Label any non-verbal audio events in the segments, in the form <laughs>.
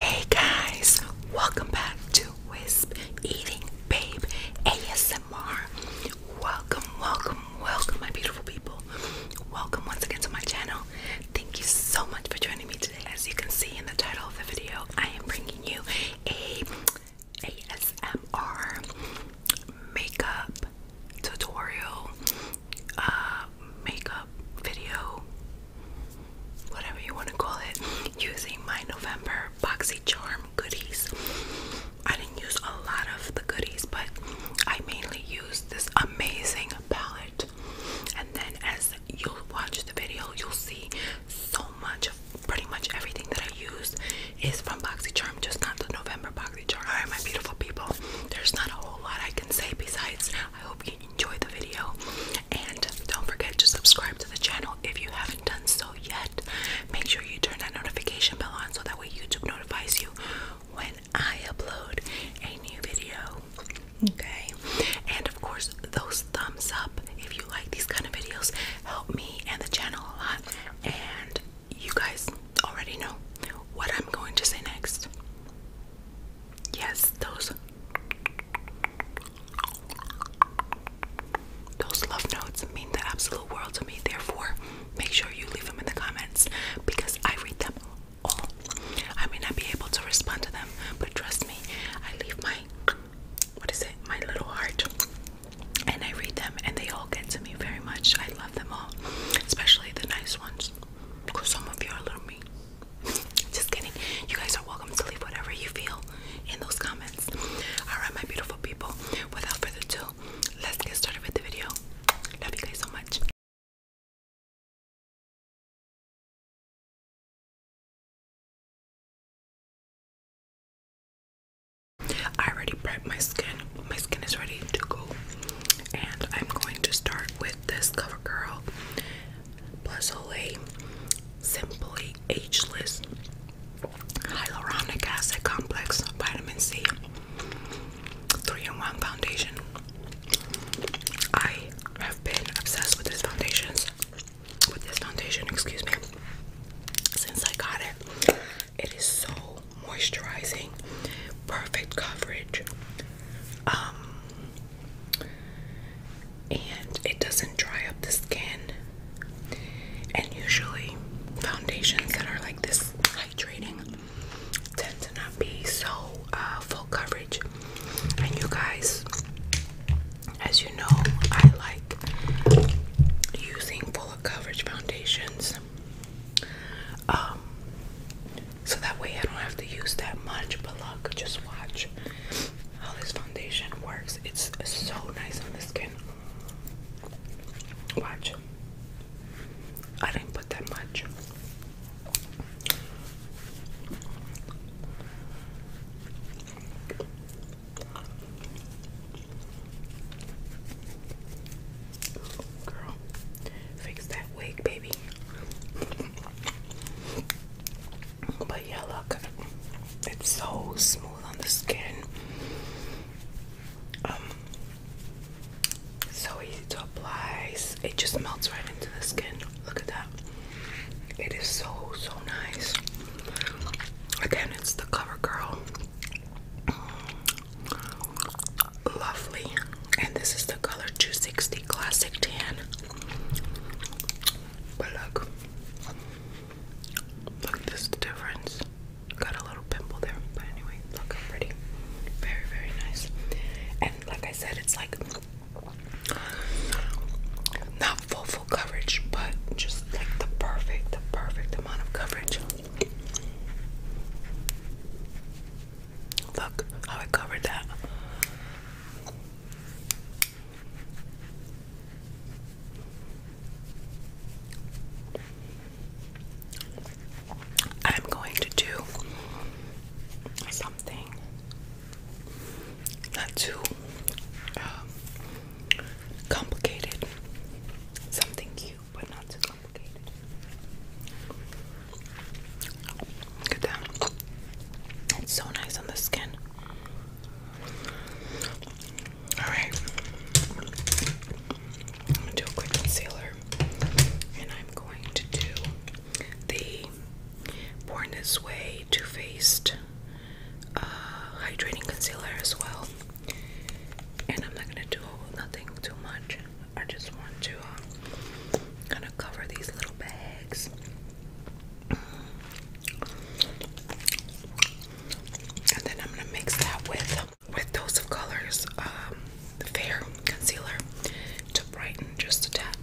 Hey guys, welcome back to Wisp Eating Babe ASMR. Welcome, welcome, welcome, my beautiful people. Welcome once again to my channel. Thank you so much for joining me today. As you can see in the title of the video, I am bringing you a ASMR makeup tutorial, uh, makeup video whatever you want to call it, using my November BoxyCharm goodies. I didn't use a lot of the goodies, but I mainly used this amazing palette. And then as you watch the video, you'll see so much of pretty much everything that I used is from BoxyCharm, just not the November BoxyCharm. Alright, my beautiful people, there's not a whole lot I can say besides I hope hope the video. And don't forget to subscribe to the channel if you haven't done so yet. Make sure you turn that notification bell on so that way YouTube notifies you when I upload a new video. Okay. And of course, those thumbs up if you like these kind of videos help me and the channel a lot. And you guys already know what I'm going to say next. Yes, those those love notes mean the absolute world to me. Therefore, make sure you leave them in the comments because I read them all. I may not be able to respond to them, but trust me, I leave my what is it? My little heart. And I read them and they all get to me very much. I love them all, especially the nice ones because some of you are a little mean. Just kidding. You guys are welcome to leave whatever you feel in those comments. Alright, my beautiful people, without further ado, let's get started with the video. Love you guys so much. I already prepped my skin. My skin is ready to go. And I'm going to start with this CoverGirl plus OA, Simply Ageless, Hyaluronic Acid Complex, Vitamin C, 3-in-1 Foundation. I have been obsessed with this foundations, with this foundation, excuse me, since I got it. It is so moisturizing, perfect coverage. Um, and it doesn't dry up the skin. And usually, foundations that are like this hydrating tend to not be so uh, full coverage. And you guys, as you know, I like using full coverage foundations. Um, so that way I don't have to use that much, but look, just watch how this foundation works. It's so nice on the skin. Watch. I didn't put that much. Girl, fix that wig, baby. But yeah, look, it's so smooth on the skin. Um, so easy to apply. It just melts right into the skin. Look at that. It is so so nice. Again, it's the CoverGirl. Lovely. And this is the color 260 Classic Tan. But look, look, this is the difference. Got a little pimple there, but anyway, look how pretty. Very, very nice. And like I said, it's like not full, full coverage, but just like the perfect, the perfect amount of coverage. Look how I covered that. I'm going to do something not too um, complicated, something cute but not too complicated. Look at that. It's so nice on the skin. Alright. I'm gonna do a quick concealer. And I'm going to do the Born This Way Too Faced uh, Hydrating Concealer as well. And I'm not gonna do nothing too much. I just want to uh, kind of cover these little bags and then I'm gonna mix that with with those of colors, um, the fair concealer to brighten just a tad.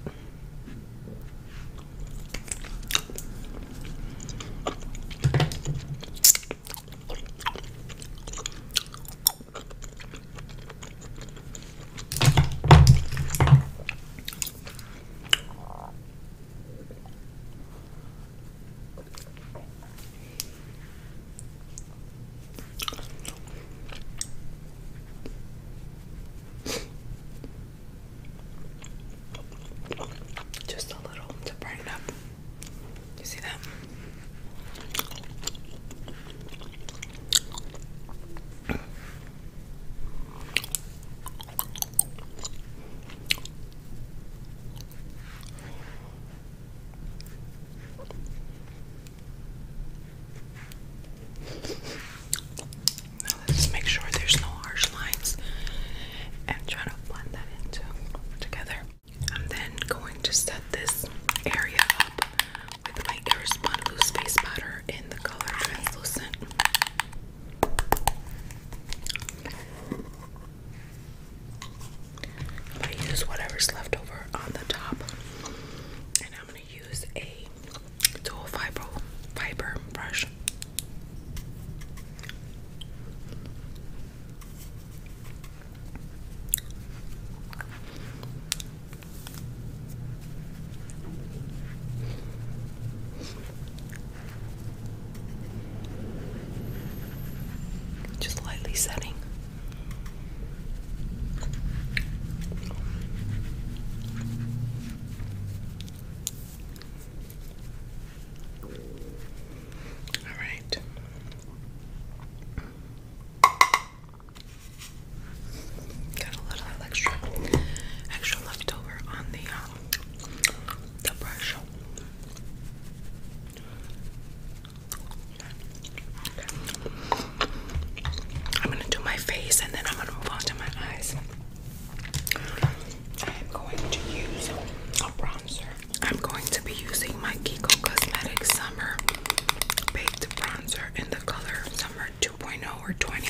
Just a little to brighten up. You see that? Now let's make sure there's no harsh lines and try to blend that into together. I'm then going to set this area up with my Airspun loose face powder in the color translucent i use whatever's left over on the top, and I'm going to use a dual fiber, fiber brush. Just lightly setting. All right. Got a little extra, extra left over on the um, the brush. I'm gonna do my face and then I'm gonna move on to my eyes. I am going to use a bronzer. I'm going to be using my Kiko Cosmetics Summer Baked Bronzer in the color Summer 2.0 or 20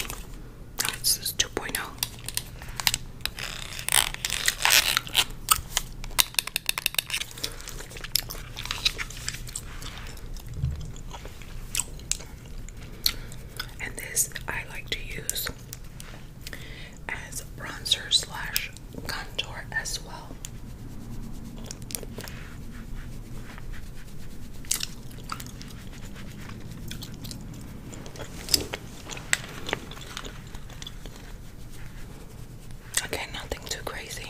this is 2.0. And this I like to use as bronzer slash contour as well. Okay, nothing too crazy.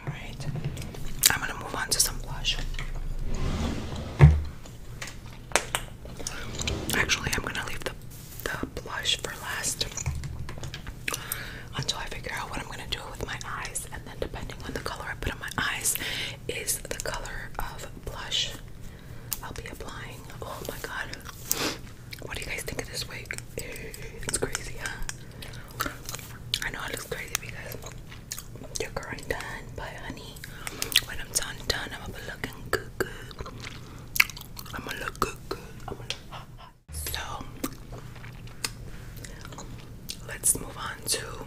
Alright, I'm gonna move on to some blush. Actually, I'm gonna leave the, the blush for last until I figure out what I'm gonna do with my eyes, and then depending on the color I put on my eyes, is the color of blush I'll be applying. Oh my god, what do you guys think of this wig? It's crazy, huh? I know it looks crazy but honey, when I'm done, I'm gonna be good, I'm gonna look good, So, let's move on to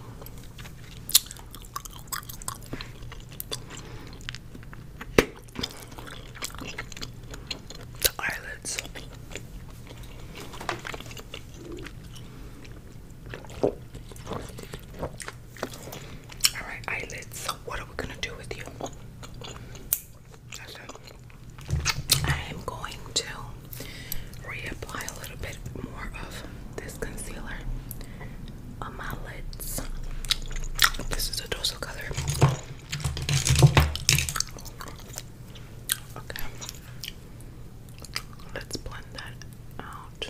the eyelids. All right, eyelids. what are we gonna do with you? I am going to reapply a little bit more of this concealer on my lids. This is a dorsal color. Okay. Let's blend that out.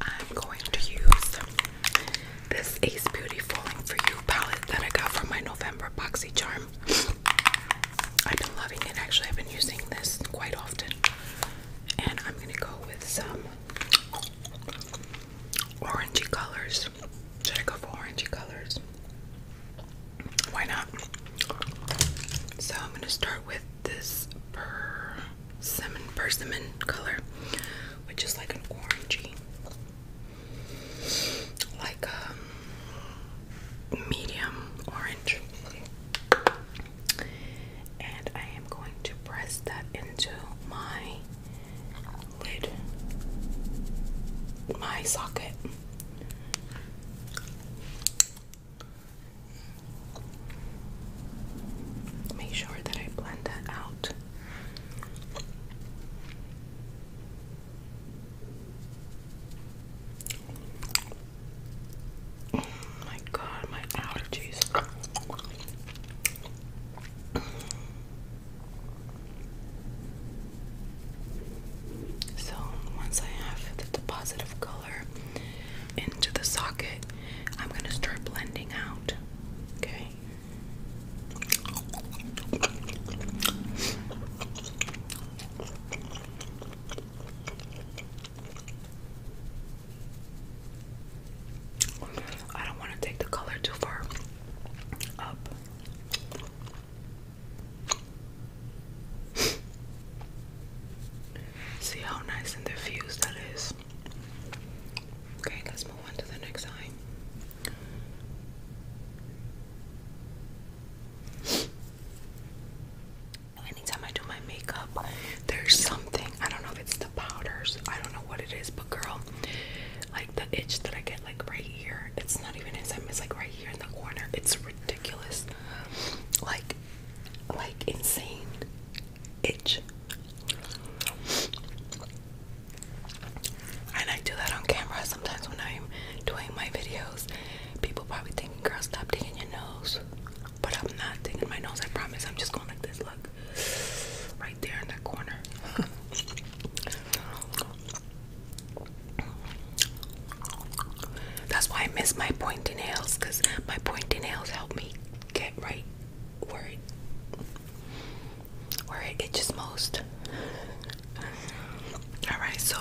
I'm going to use this Ace Beauty For You palette that I got from my November Boxy Charm. I've been loving it actually, I've been using this quite often. And I'm gonna go with some orangey colors. Should I go for orangey colors? why not? So I'm gonna start with this persimmon persimmon color, which is like an orangey, like um, medium orange. And I am going to press that into my lid, my socket. Make sure that I blend that out. Oh my god, my allergies. So once I have the deposit of color into the socket, I'm gonna start blending out. Okay. I don't want to take the color too far up. <laughs> See how nice and diffused that is. Okay, let's move on to the next eye. Anytime I do my makeup, there's something. I don't know if it's the powders. I don't know what it is, but girl, like the itch that I get, like right here. It's not even in inside. It's like right here in the corner. It's ridiculous like like insane itch. And I do that on camera sometimes when I'm doing my videos. People probably thinking, girl, stop digging your nose. But I'm not digging my nose, I promise. I'm just going like this, look. Right there in that corner. <laughs> That's why I miss my pointy nails because my pointy nails help me get right where it where most. Alright, so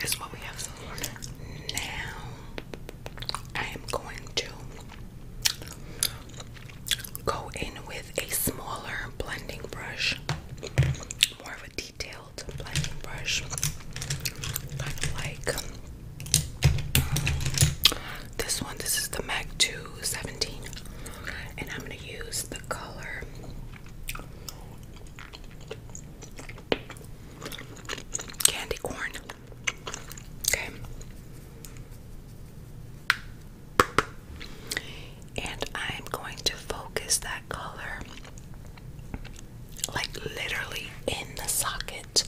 that's what we have Now I am going to go in with a smaller blending brush. More of a detailed blending brush, like um, this one. This is the MAC 217, and I'm going to use the color. Candy corn. Okay. And I'm going to focus that color like literally in the socket.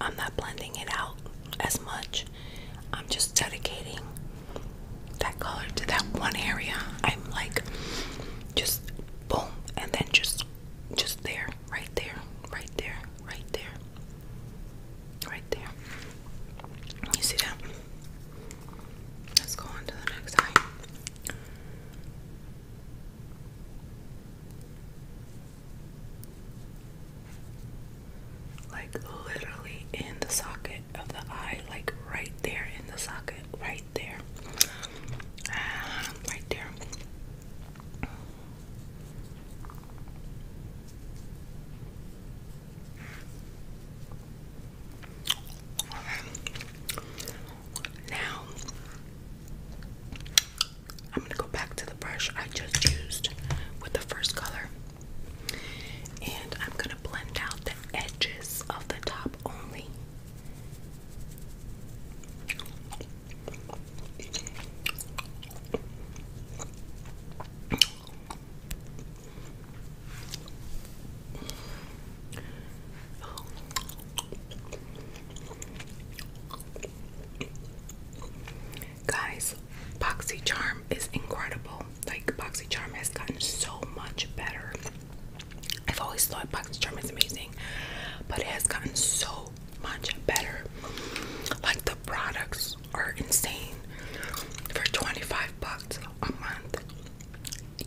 I'm not blending it out as much. I'm just dedicating that color to that one area. I'm like just boom and then just just there, right there, right there, right there, right there. You see that? Let's go on the next eye. Like literally in the socket of the eye, like right there in the socket, right there, ah, right there. Now, I'm going to go back to the brush I just used with the first color. And I'm going to blend out the edges of the top only. Guys, BoxyCharm is incredible. Like, BoxyCharm has gotten so much better. I've always thought BoxyCharm is amazing, but it has gotten so much better. Like, the products are insane. For 25 bucks a month,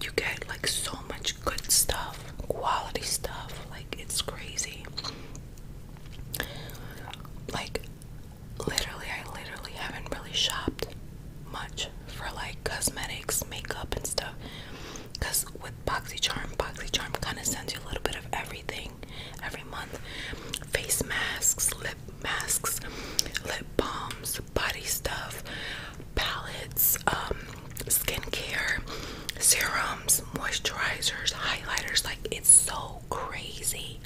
you get like so much good stuff, quality stuff. Like, it's crazy. Like, literally, I literally haven't really shopped much for like cosmetics, makeup, and stuff. Because with BoxyCharm, BoxyCharm kind of sends you a little bit of everything every month face masks, lip masks, lip balms, body stuff, palettes, um, skincare, serums, moisturizers, highlighters. Like it's so crazy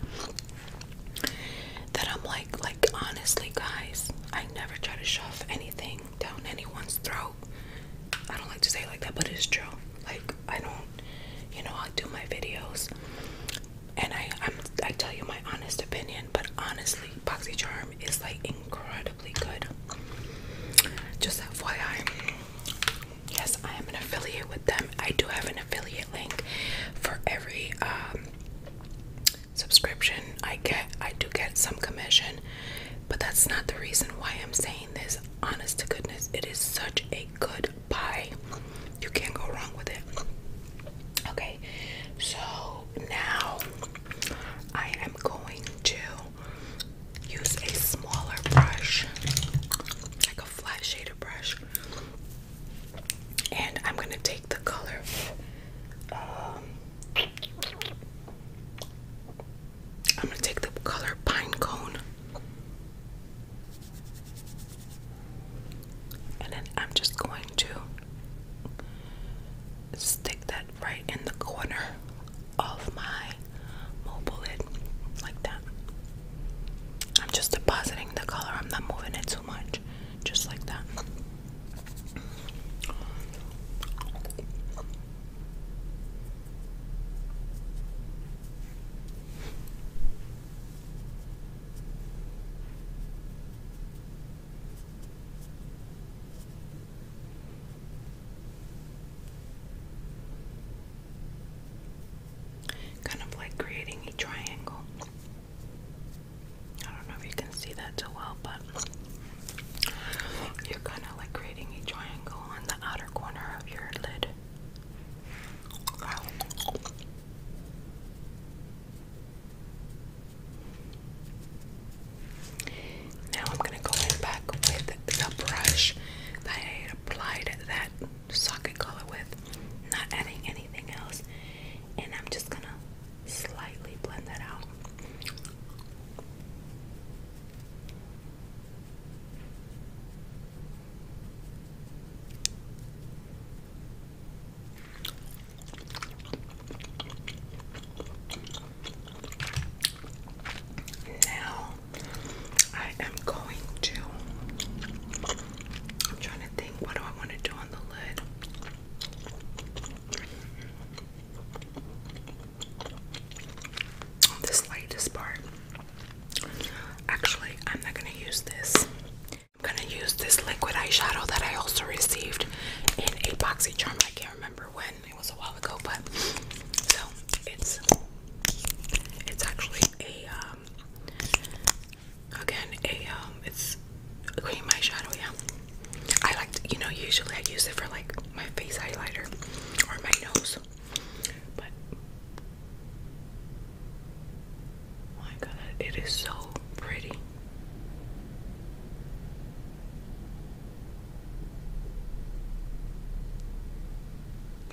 that I'm like, like honestly, guys, I never try to shove anything down anyone's throat. I don't like to say like that, but it's true. Like I don't, you know, I do my videos, and I I'm, I tell you my honest opinion. But honestly, BoxyCharm is like incredible just FYI, yes, I am an affiliate with them. I do have an affiliate link for every um, subscription I get. I do get some commission, but that's not the reason why I'm saying this. Honest to goodness, it is such a good buy. You can't go wrong with it. Okay, so now I am going to use a smaller brush, like a flat shader brush, and I'm gonna take the color. Um, I'm gonna take the color pine cone, and then I'm just going to stick that right in the corner of my mobile lid, like that. I'm just depositing the color, I'm not moving it too much, just like that. Kind of like creating a triangle. I don't know if you can see that so well, but you're kind of like creating a triangle on the outer corner of your lid. Now I'm going to go in back with the brush that I applied that socket color with, not adding anything else. And I'm just going to slightly blend that out. Now I am going to I'm trying to think what do I want to do on the lid? this lightest part. Actually, I'm not gonna use this. I'm gonna use this liquid eyeshadow that I also received in a boxy charm. I can't remember when, again. It was a while ago, but so it's it's actually a um again a um it's a cream eyeshadow. Yeah, I like to, you know usually I use it for like my face highlighter or my nose, but oh my god, it is so pretty.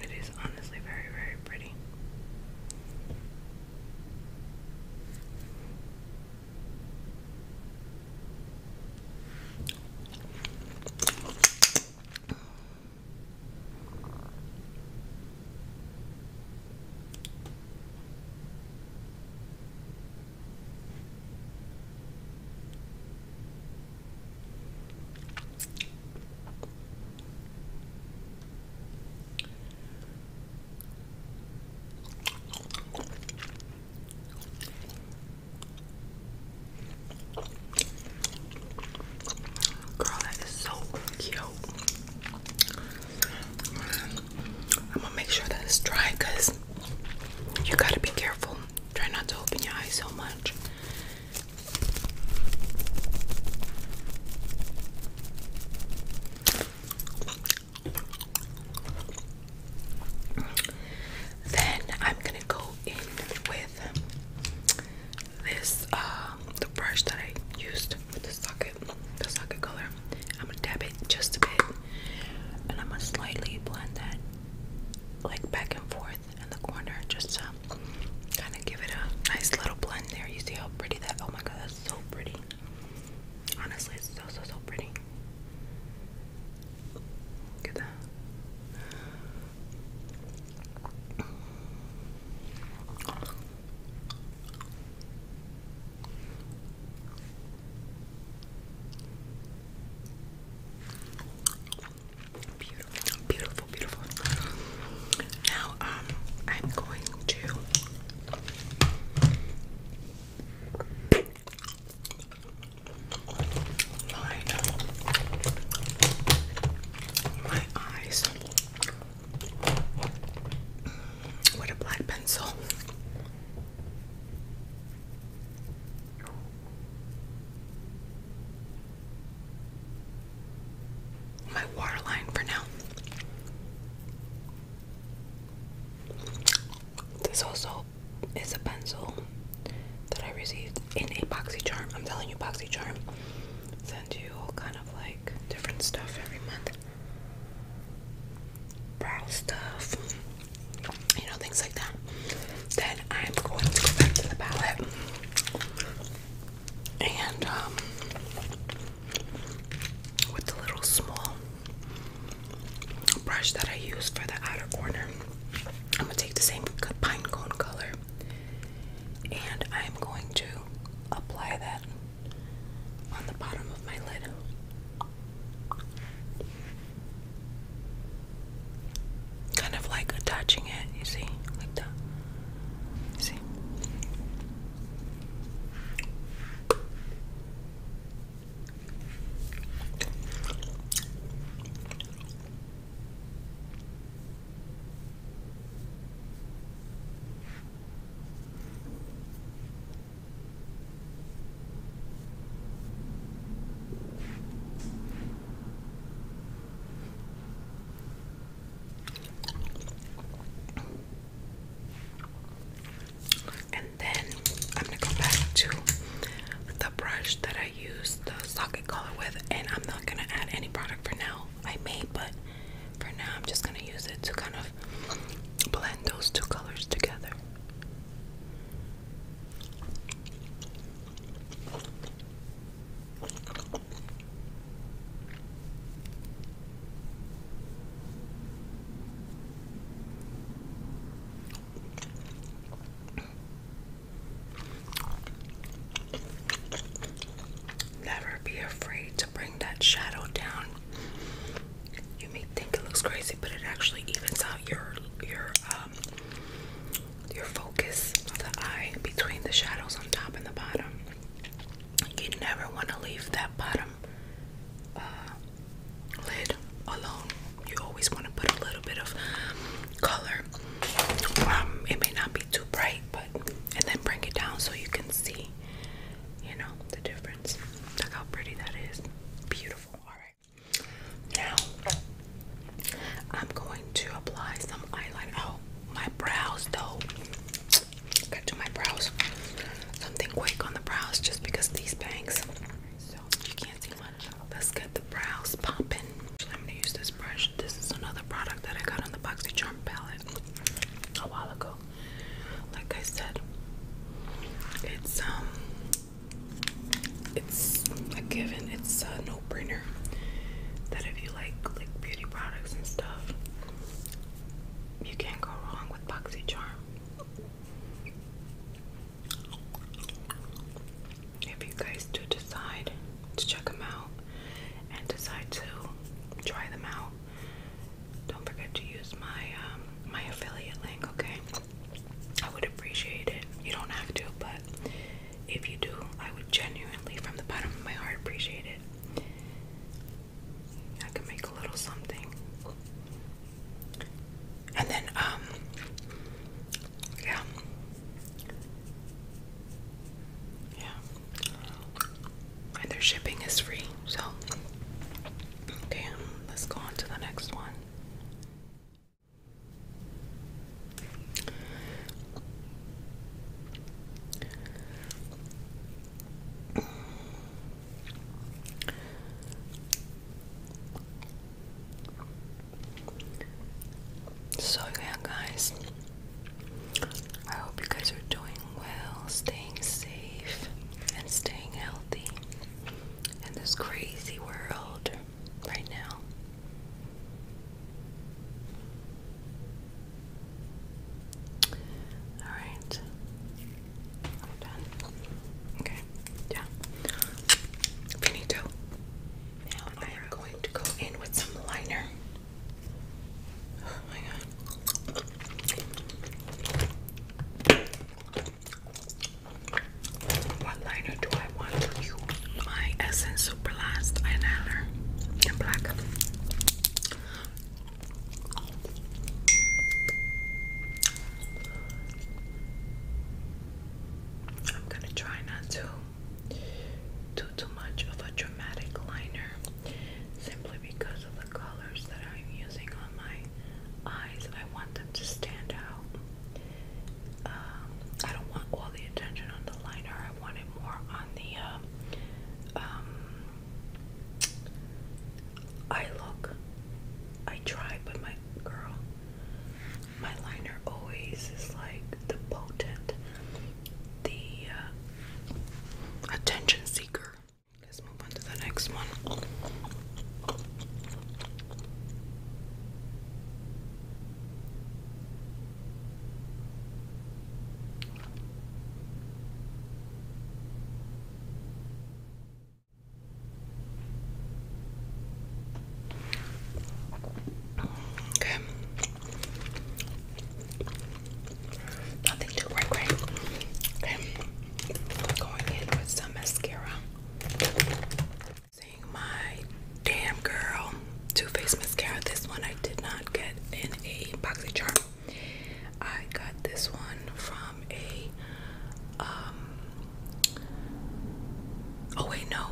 It is honestly very, very pretty. Girl, that is so cute. I'm gonna make sure that it's dry because you gotta be careful Try not to open your eyes so much. Then I'm gonna go in with this um, the brush that I used with the socket, the socket color. I'm gonna dab it just a bit, and I'm gonna slightly blend that like back and forth in the corner just to kind of give it a nice little blend there. You see how pretty that? Oh my god, that's so pretty. Honestly, it's so so so pretty. Look at that. Beautiful, beautiful, beautiful. Now, um, I'm going to line up my eyes with a black pencil my waterline for now. This also is a pencil that I received in a boxy charm. I'm telling you, boxy charm sends you all kind of like different stuff every month. Brow stuff, you know, things like that. Then I'm going to go back to the palette and um, with a little small brush that I use for the outer corner, I'm gonna take the same pine cone color and I'm going to apply that on the bottom of my lid kind of like attaching it, you see, like that. see? And then I'm gonna go back to the brush that I used the socket color with, and I'm not gonna add any product for now. I may, but for now, I'm just gonna use it to kind of blend those two colors together. Never be afraid to bring that shadow down. You may think it looks crazy, but it actually evens out your your um your focus of the eye between the shadows on top and the bottom. You never want to leave that bottom uh, lid alone. You always want to put a little bit of color. Um, it may not be too bright, but and then bring it down so you can see, you know, the difference. Look how pretty that is. Beautiful. All right. Now I'm going to apply some eyeliner. Oh, my brows though. Gotta my brows. Something quick on the brows just because these bangs. you can't see much. Let's get the brows popping. I'm gonna use this brush. This is another product that I got on the BoxyCharm palette a while ago. Like I said, it's um, it's a given. It's uh, that if you like like beauty products and stuff, you can't go wrong with BoxyCharm. If you guys do decide to check them out and decide to try them out, don't forget to use my um, my affiliate link. Okay, I would appreciate it. You don't have to, but if you do, I would genuinely, from the bottom of my heart, appreciate it. I could make a little something. And then, um, yeah. Yeah. And shipping is free, so. Okay, let's go on to the next one. So, yeah, guys, I hope you guys are doing well, staying safe, and staying healthy in this crazy world right now. All right. I'm done. Okay. Yeah. Finito. Now I am going to go in with some liner. Oh my god. What liner do I want to use my Essence Superlast eyeliner in black? I'm gonna try not to do too much of a dramatic liner simply because of the colors that I'm using on my eyes. I want them to stand out. Um, I don't want all the attention on the liner. I wanted more on the uh, um, eye look. I try, but my girl, my liner always is like the potent, the uh, attention seeker. Let's move on to the next one. Okay. Nothing too great, Okay. going in with some mascara my Damn Girl Too Faced Mascara. This one I did not get in a boxy charm. I got this one from a um oh wait no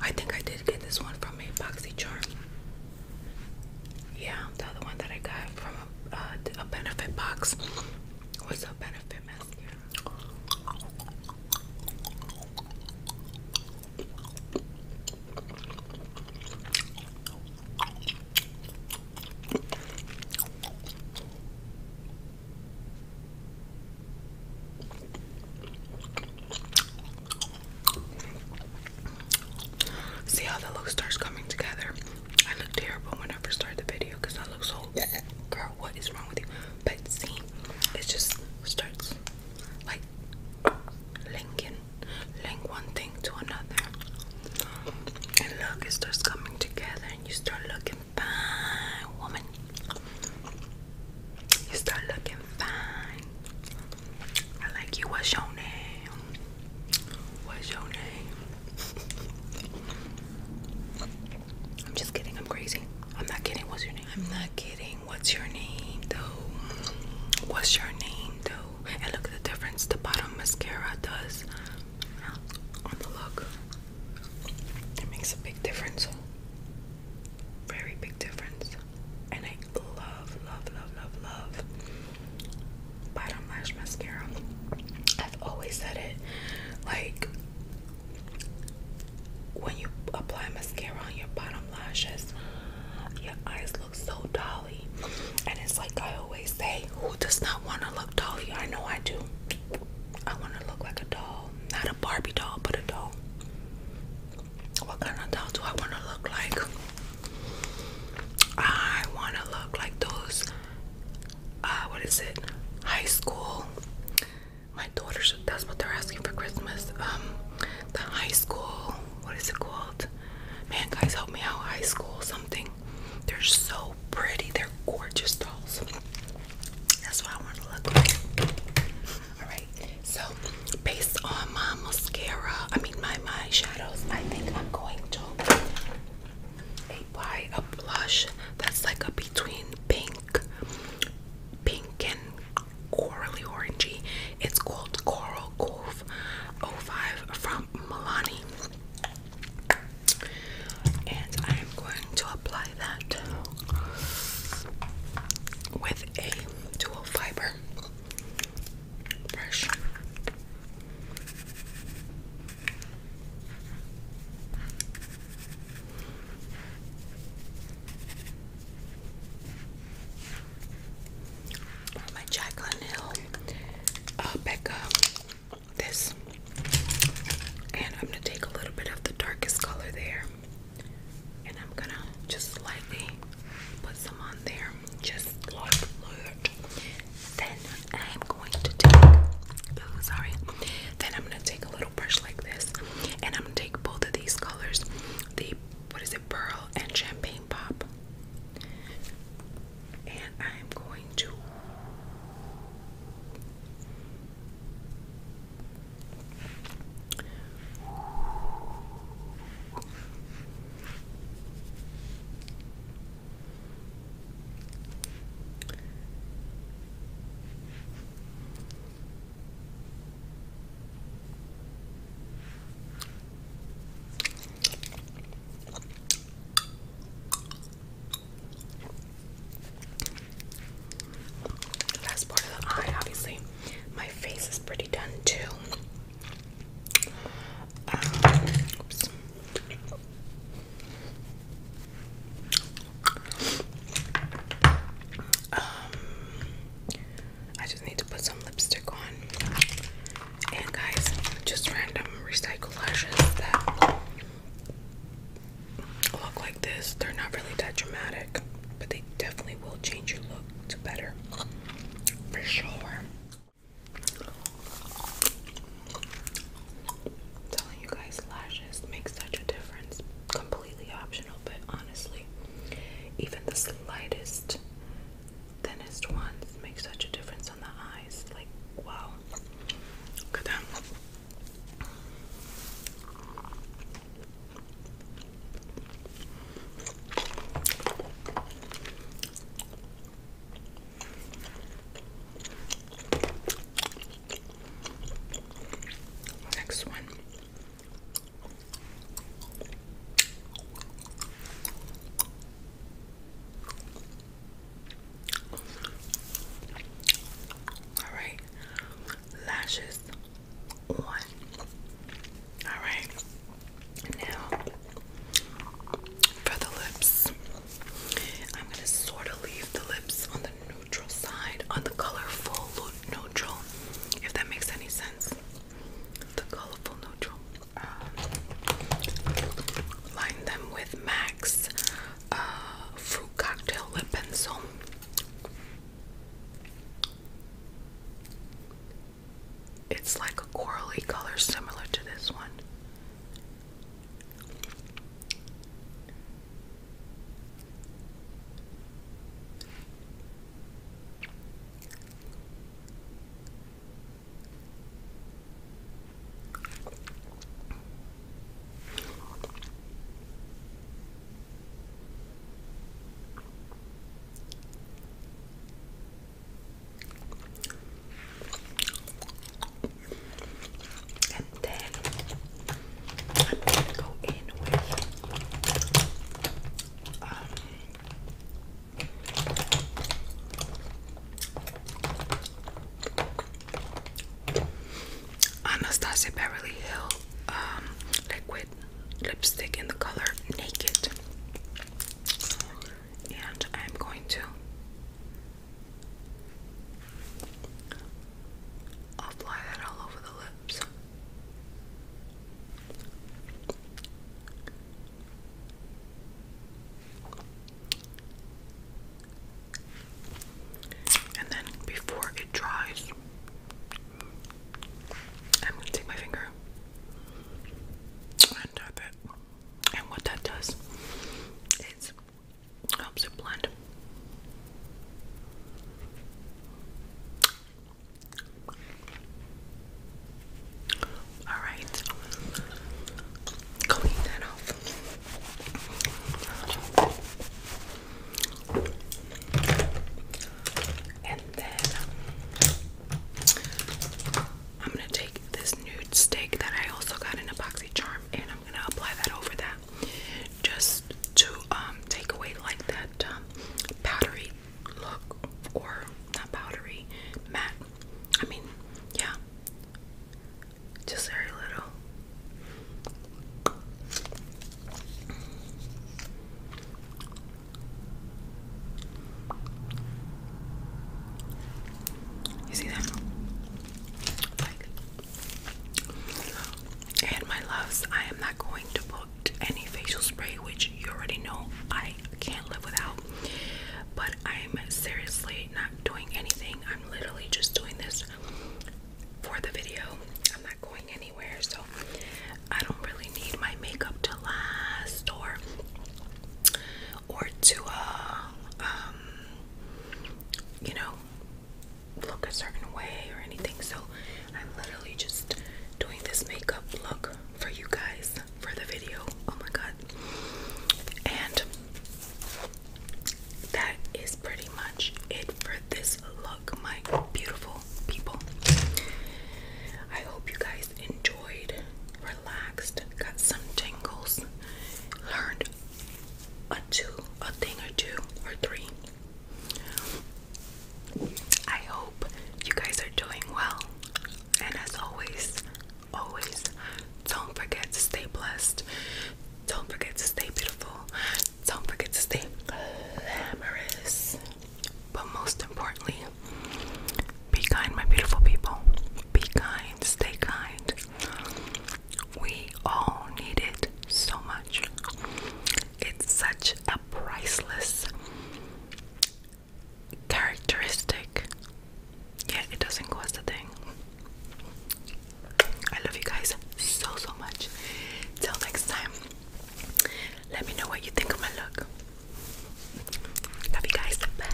I think I did get this one from a boxy charm. Yeah, the other one that I got from a, uh, benefit box What's a benefit mascara. See how the look starts coming together. I look terrible when I first started the video because I look so girl. What is wrong with you? But see, it just starts like linking, link one thing to another. And look, it starts coming together, and you start looking fine, woman. You start looking fine. I like you. What's your name? What's your name? I'm just kidding. I'm crazy. I'm not kidding. What's your name? I'm not kidding what's your name though? What's your name though? And look at the difference the bottom mascara does on the look. It makes a big difference. Very big difference. And I love, love, love, love, love bottom lash mascara. I've always said it. Like when you apply mascara on your bottom lashes, your eyes look so dolly. And it's like I always say, who does not want to look dolly? I know I do. I want to look like a doll. Not a Barbie doll, but a doll. What kind of doll do I want to look like? I want to look like those, uh, what is it? High school. My daughter, should, that's what they're asking for Christmas. Um, the high school. What is it called? Man, guys, help me out. High school something. They're so pretty. They're gorgeous dolls. That's what I want to look like. Alright, so based on my mascara, I mean my my shadows, I think I'm going to apply a blush that's like a between pink, pink and corally orangey. It's called Coral Cove 05 from Milani. And I'm going to apply that with a dual fiber brush my Jaclyn Hill pick uh, up this, and I'm gonna take a little bit of the darkest color there, and I'm gonna just lightly put some on there, just like that. Then I'm going to take, oh sorry, then I'm gonna take a little brush like this, and I'm gonna take both of these colors, the what is it, pearl and champagne pop. And I'm going to Last part of the eye, obviously. My face is pretty done too. Um, I just need to put some lipstick on. And guys, just random recycle lashes that look like this. They're not really that dramatic, but they definitely will change your look to better. For sure. I'm telling you guys, lashes make such a difference. Completely optional, but honestly, even the slightest thinnest ones make such a difference on the eyes. Like, wow. Look at them. Next one all right, lashes on. All right, now for the lips, I'm going to sort of leave the lips on the neutral side, on the colorful neutral, if that makes any sense the colorful neutral. Um, line them with Max uh, Cocktail Lip Pencil. It's like a corally color similar to this one. And then I'm gonna go in with um Anastasia Beverly Hill um, liquid lipstick in the color Naked. And I'm going to apply that all over the lips. And then before it dries, I'm going to take my finger and tap it. And what that does is helps it blend. Alright. Clean that off. And then I'm gonna take this nude stick that I also got in a boxy charm and I'm gonna apply that over that just to um, take away like that um, powdery look or not powdery, matte. I mean, yeah, just very little. You see that? and my loves, I am not going to put any facial spray, which you already know I can't live without. But I'm seriously not doing anything. I'm literally just doing this for the video. I'm not going anywhere, so I don't really need my makeup to last or or to uh, um you know look a certain way or anything so I'm literally just doing this makeup look for you guys for the video. Oh my god. And that is pretty much it for this look, my beautiful people. I hope you guys enjoyed, relaxed, got some tangles. learned a two, a thing or two or three. I hope you guys are doing well. And as always, always don't forget to stay blessed. Don't forget to stay beautiful. Don't forget to stay glamorous. But most importantly, be kind, my beautiful people. Be kind, stay kind. We all need it so much. It's such a priceless characteristic. Yeah, it doesn't cost a thing. I love you guys so so much. Till next time. Let me know what you think of my look. Love you guys. Bye.